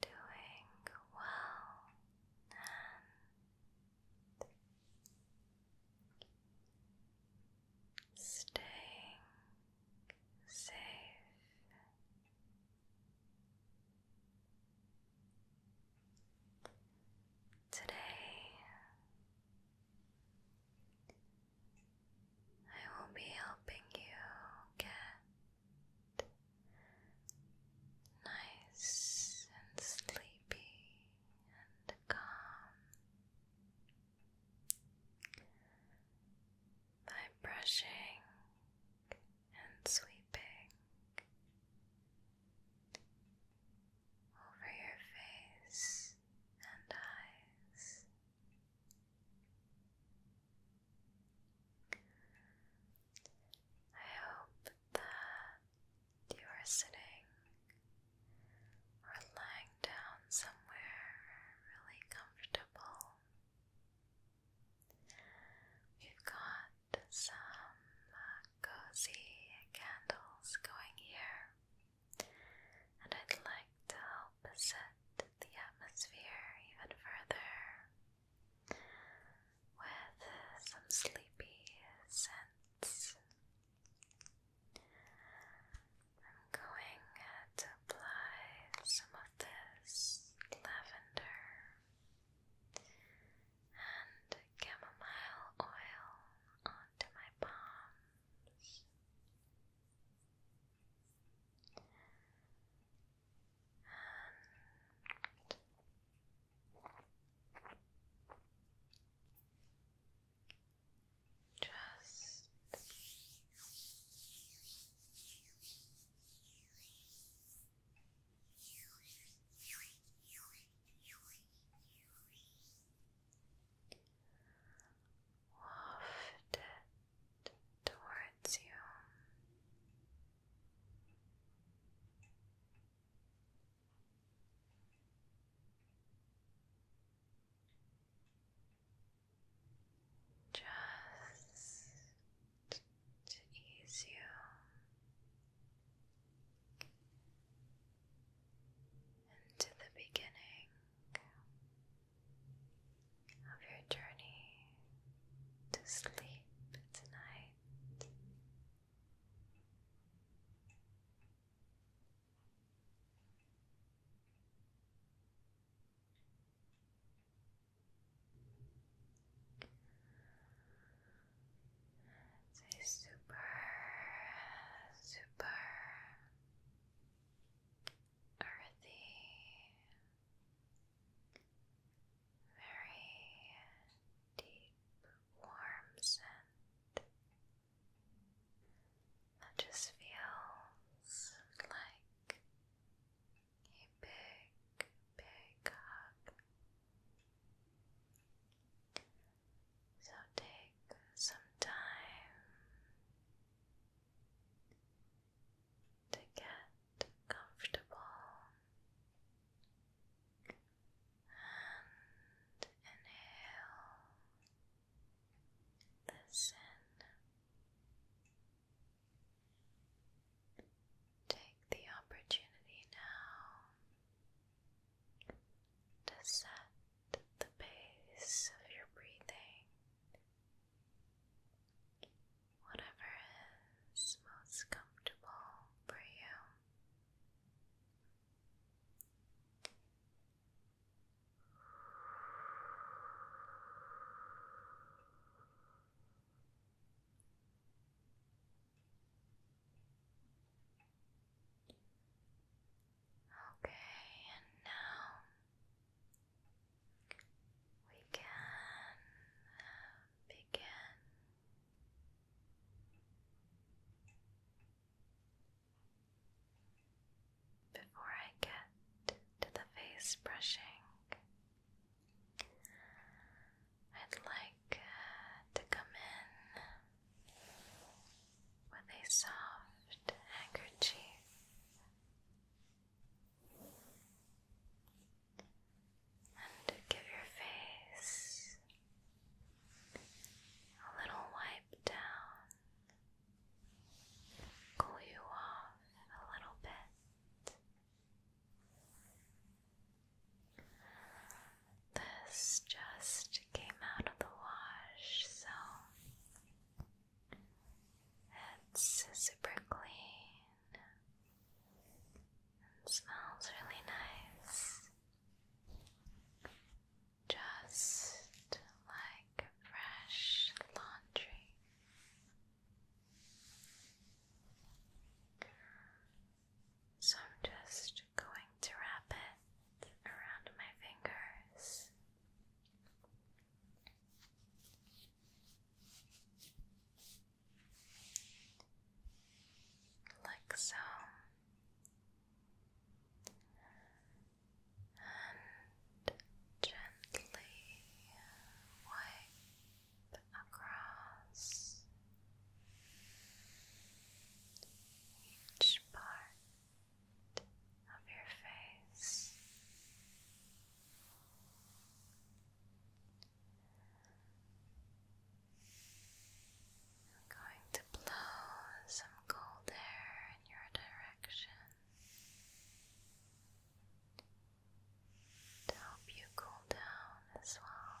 doing well and staying safe. Today, I will be helping you get nice and sleepy and calm. By brushing and sweeping over your face and eyes, I hope that you are sitting or lying down somewhere really comfortable. We've got some uh, cozy candles going here, and I'd like to help set the atmosphere even further with some sleepy scents. I'm going to apply some of this lavender and chamomile oil onto my palms. And just Waft it towards you, just to ease you. Into the beginning of your journey to sleep tonight. It's a super, super earthy very deep, warm scent that just feels like a big, big hug. So take some time to get comfortable and inhale. Listen. Take the opportunity now to set the pace of your breathing whatever is most comfortable for you. Okay, and now we can begin. Before I get to the face brushing, I'd like uh, to come in with a soft handkerchief and give your face a little wipe down, cool you off a little bit. This just came out of the wash, so it's super clean and smells really nice. Just like fresh laundry. So I'm just going to wrap it around my fingers like so. And gently wipe across each part of your face. I'm going to blow some cold air in your direction to help you cool down as well.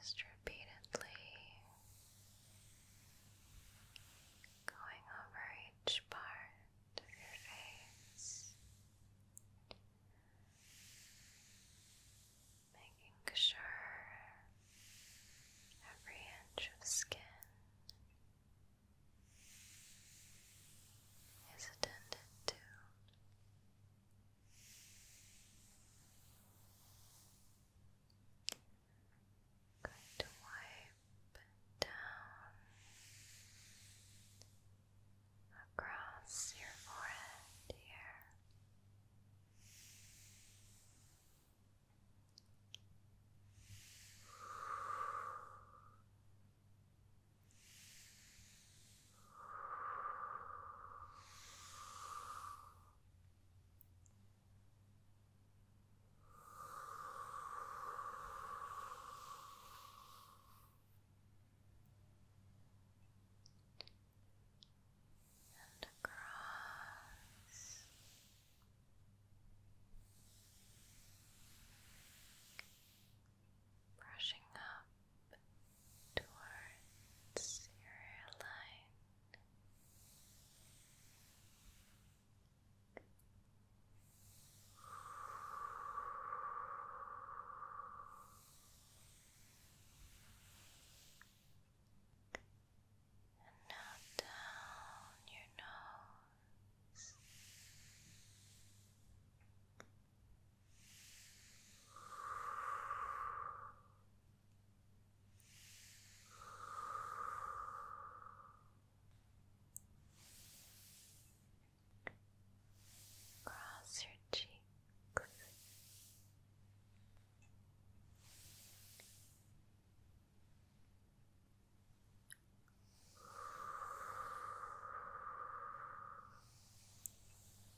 Just repeatedly going over each part of your face, making sure every inch of skin is attended to. Going to wipe down across your forehead here and across brushing up towards your line. And now down your nose, Cross your cheeks.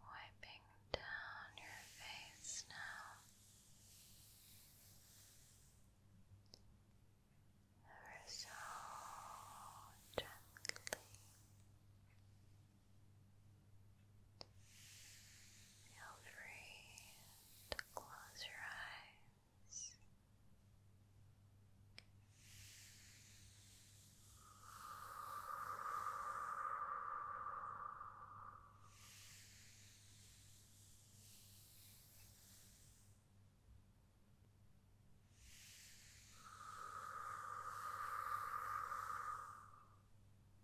Wiping down your face now. Ever so gently. Feel free and close your eyes. Now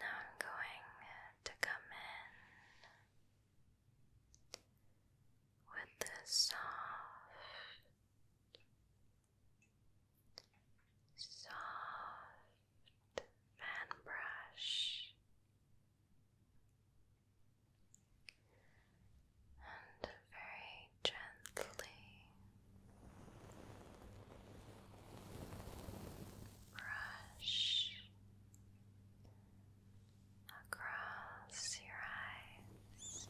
now I'm going uh, to come in with this soft, soft fan brush and very gently brush across your eyes.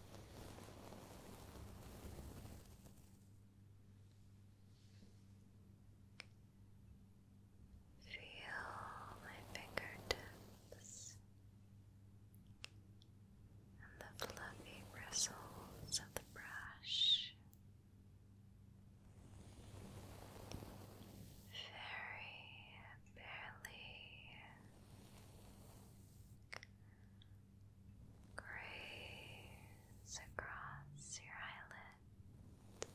Feel my fingertips and the fluffy bristles of the brush very barely graze across your eyelid.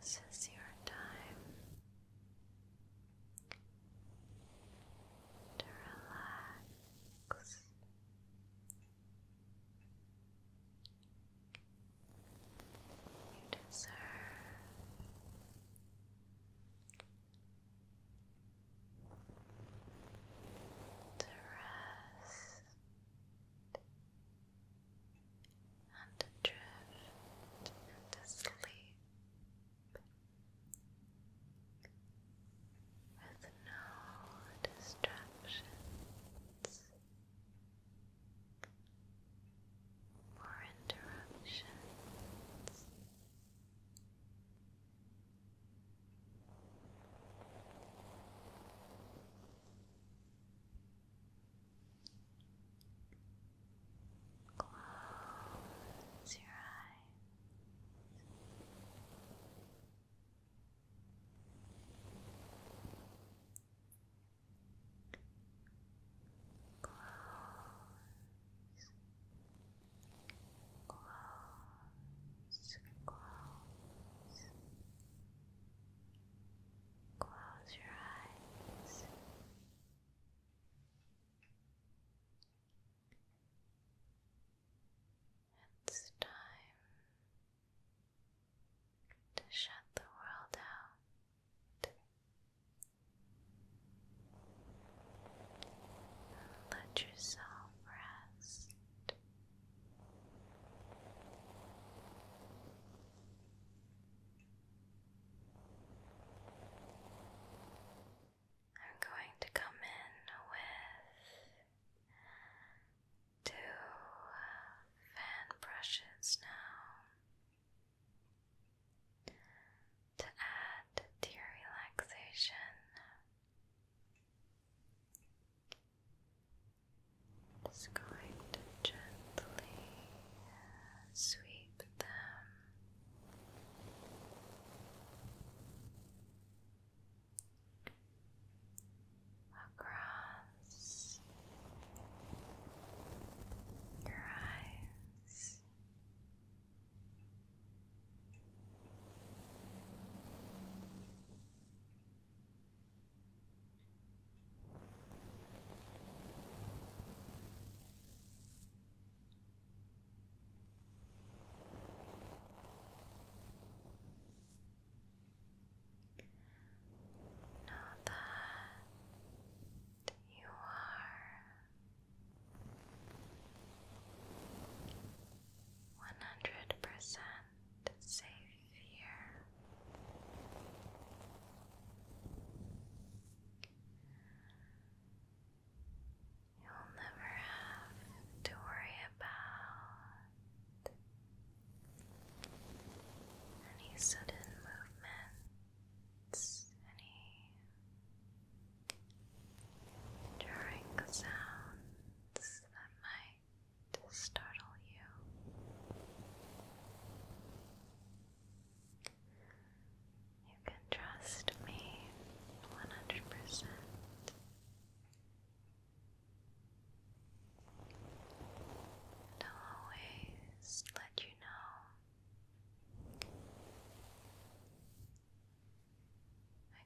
This is your time to relax. You deserve to rest and drift into sleep with no distractions or interruptions. Now Close your eyes. Close. Close. Close. Close your eyes. It's time to shut the world out. Let yourself rest. I'm going to come in with two fan brushes now to add to your relaxation. Just going to gently sweep them. Across your eyes, Know that you are one hundred percent safe here. You'll never have to worry about any sudden movements, any jarring sounds that might startle you. You can trust me 100%. And always let you know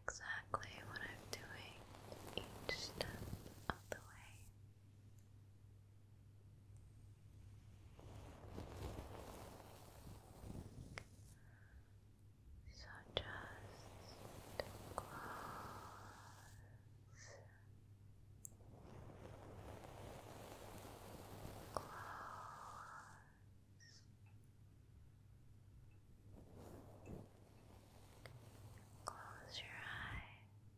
exactly what I'm doing each step of the way. So just close, close, close your eyes.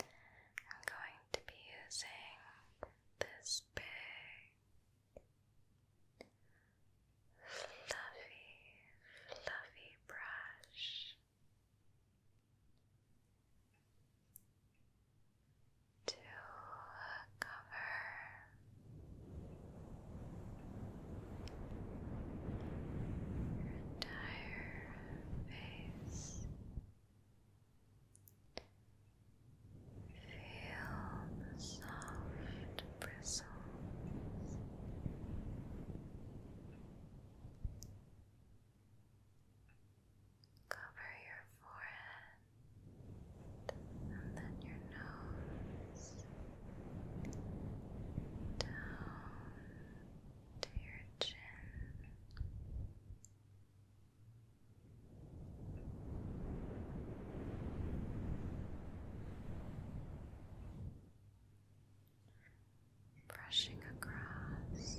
I'm going to be using this big, fluffy, fluffy brush to cover your entire face. Feel the soft bristles. Cover your forehead and then your nose down to your chin brushing across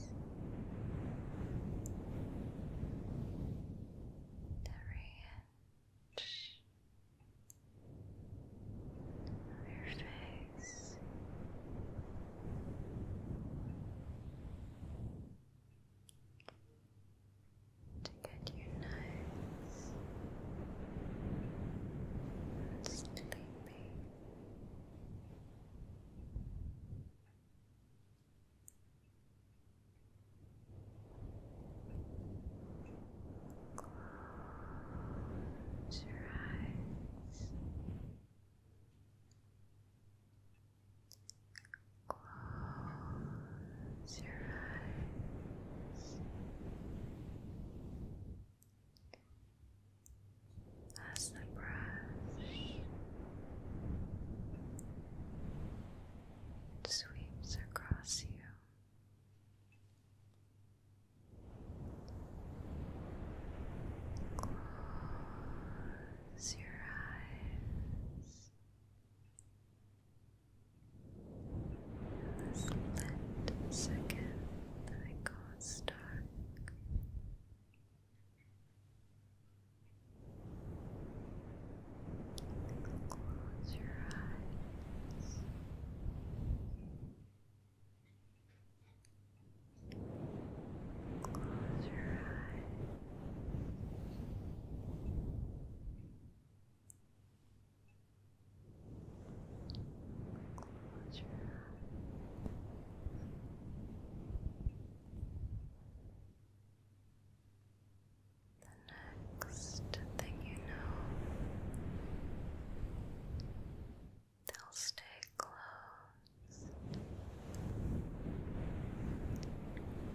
the range of your face to get you nice and sleepy. Close your eyes. Close your eyes. As the brush sweeps across you. Close Close your eyes. In this lit second that it goes dark, close your eyes. Close your eyes. Close your eyes. The next thing you know, they'll stay closed.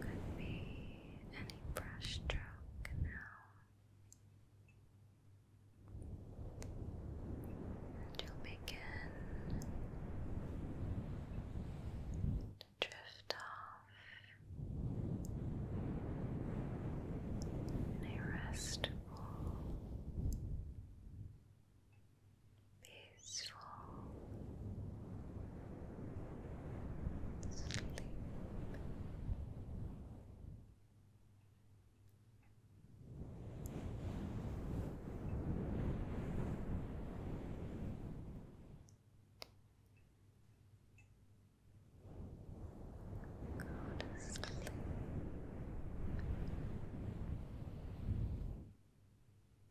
Could be any brush stroke now. And begin to drift off in a restful peaceful sleep. Go